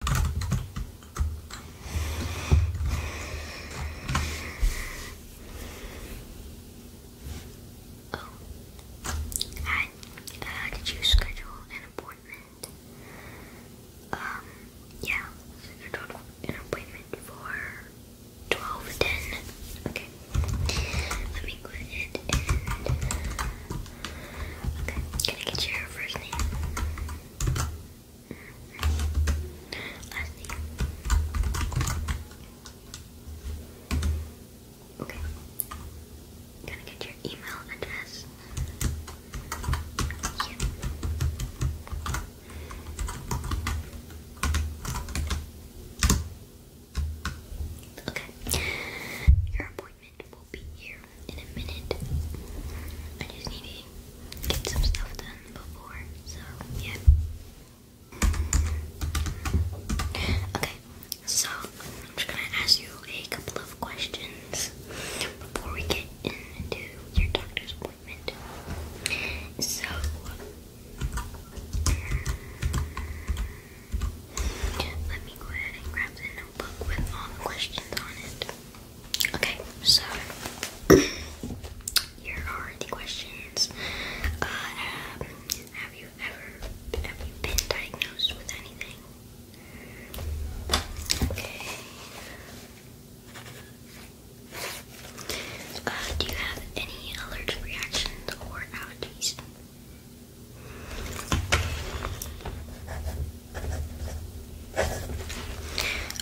Oh, hi. Uh, you schedule an appointment? Um, yeah, scheduled an appointment for twelve ten. Okay, let me click it and. Okay, can I get your first name? Lastly. Okay. gonna get your email address. Okay. Your appointment payment will be here in a minute. I just need to get some stuff done before, so yeah. Okay, so I'm just gonna ask you a couple of questions before we get into your doctor's appointment. So, let me go ahead and grab the notebook with all um, the questions on it. Okay, so here are the questions. Uh, have you ever have you been diagnosed with anything? Okay. Uh, do you have any allergic reactions or allergies?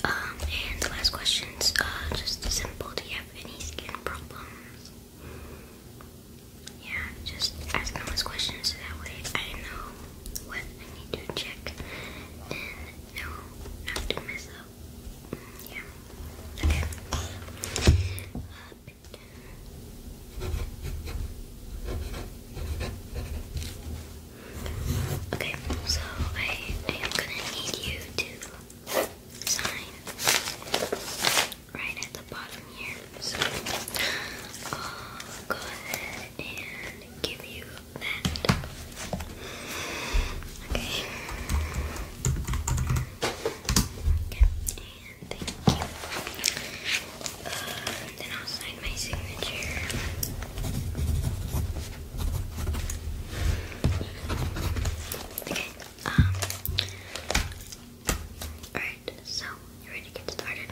Um, and last question's uh, just simple. Do you have any skin problems? Yeah, just ask them questions so that way I know what I need to check and know not mm, Yeah. Okay. Uh, Okay, so I, am gonna need you to sign right at the bottom here. So I'll go ahead and give you that. Okay, Thank you. Uh, then I'll sign my signature. Okay. Um. All right. So you ready to get started?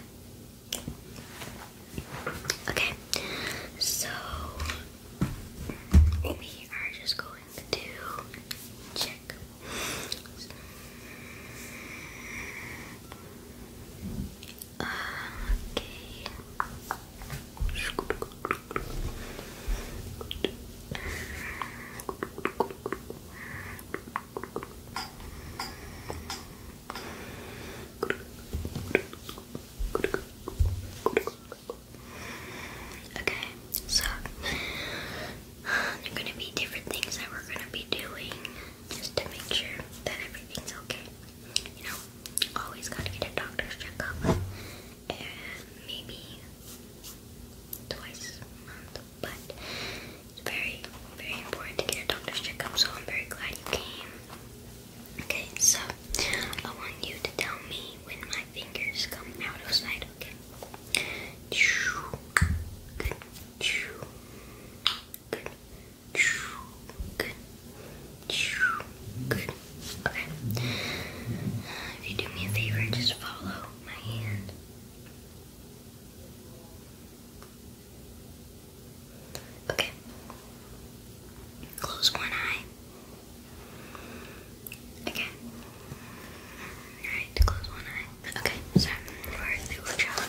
Okay. So we are just going to neck. Okay. Okay, so there are going to be different things that we're going to be doing just to make sure that everything's okay. You know, always got to get a doctor's checkup, maybe twice a month, but it's very, very important to get a doctor's checkup, so I'm very glad you came. Okay, so I want you to tell me when my fingers come out of sight, okay? Good. If you do me a favor, just follow my hand. Okay. Close one eye. Again. Alright, close one eye. Okay, so we the workshop.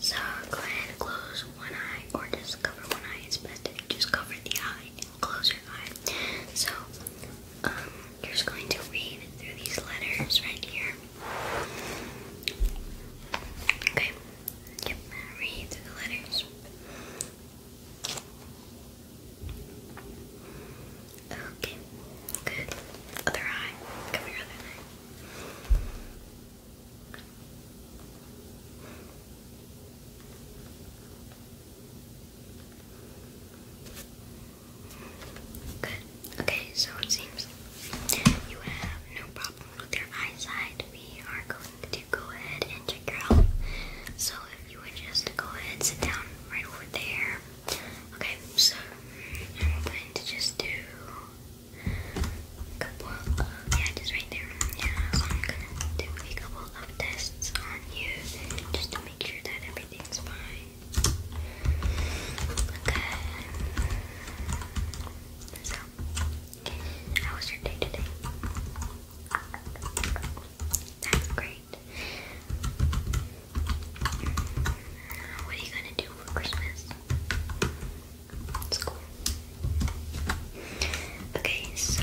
So go ahead and close one eye or just cover one eye. It's best if you just cover the eye and close your eye. So um, you're just going to read through these letters right here. Okay. Yep. Read through the letters. Okay, good. Other eye. Cover your other eye. Good. Okay, so it seems you have no problem with your eyesight. We are going to go ahead and check your health. So if you would just go ahead, sit down right over there. Okay, so I'm going to just do yeah, just right there. Yeah, I'm gonna do a couple of tests on you just to make sure that everything's fine. Okay. So, how was your day today? That's great. What are you gonna do for Christmas? School. Okay, so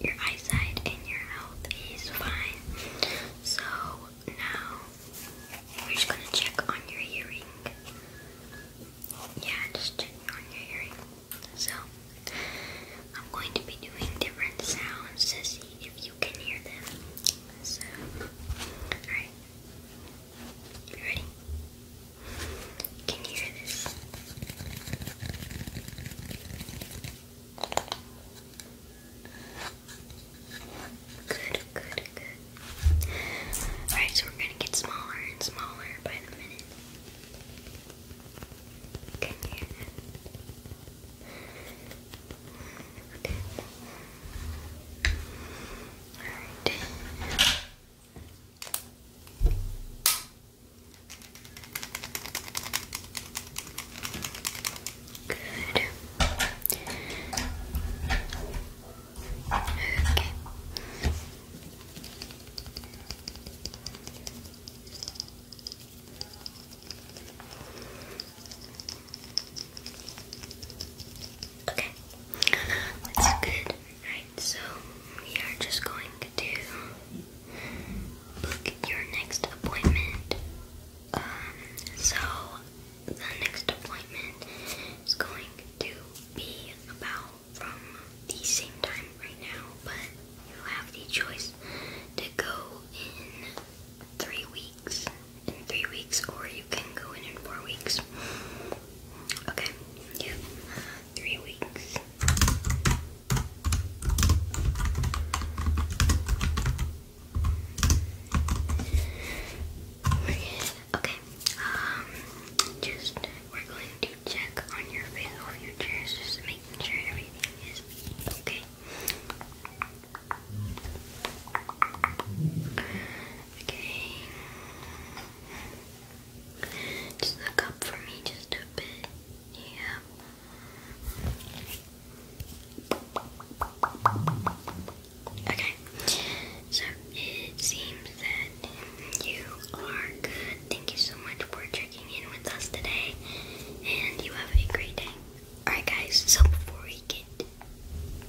your eyesight and your health is fine. So now we're just gonna check on your hearing. Yeah, just checking on your hearing. So, I'm going to be doing different sounds to see if you can hear them. So, alright. You ready? Can you hear this? Good, good, good. Alright, so we're gonna get smaller and smaller by the minute. Can you? Okay. Alright. Good. Okay. Okay, that's good. Alright, so we are just going to book your next appointment. Um, so the next appointment is going to be about from the same time right now, but you have the choice to go in three weeks. In three weeks, or you can go in in four weeks. Okay, yeah, three weeks. we Okay, um, just we're going to check on your facial features, just making sure everything is okay. Okay, just look up for me just a bit. Yeah. Okay. So it seems that you are good. Thank you so much for checking in with us today, and you have a great day. Alright, guys, so before we get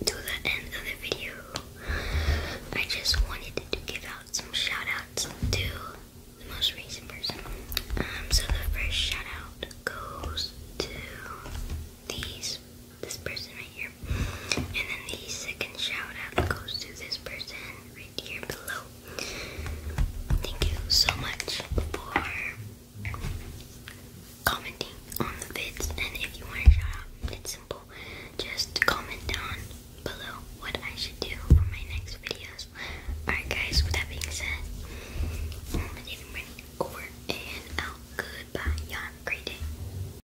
to the end of the video, I just wanted to give out some shout outs to the most recent person. Um, so the first shout out goes to these this person right here. And then the second shout out goes to this person right here below. Thank you so much for commenting on the vids. And if you want to shout out, it's simple. Just comment down below what I should do for my next videos. Alright guys, with that being said, I'm gonna be over and out. Goodbye. Y'all great day.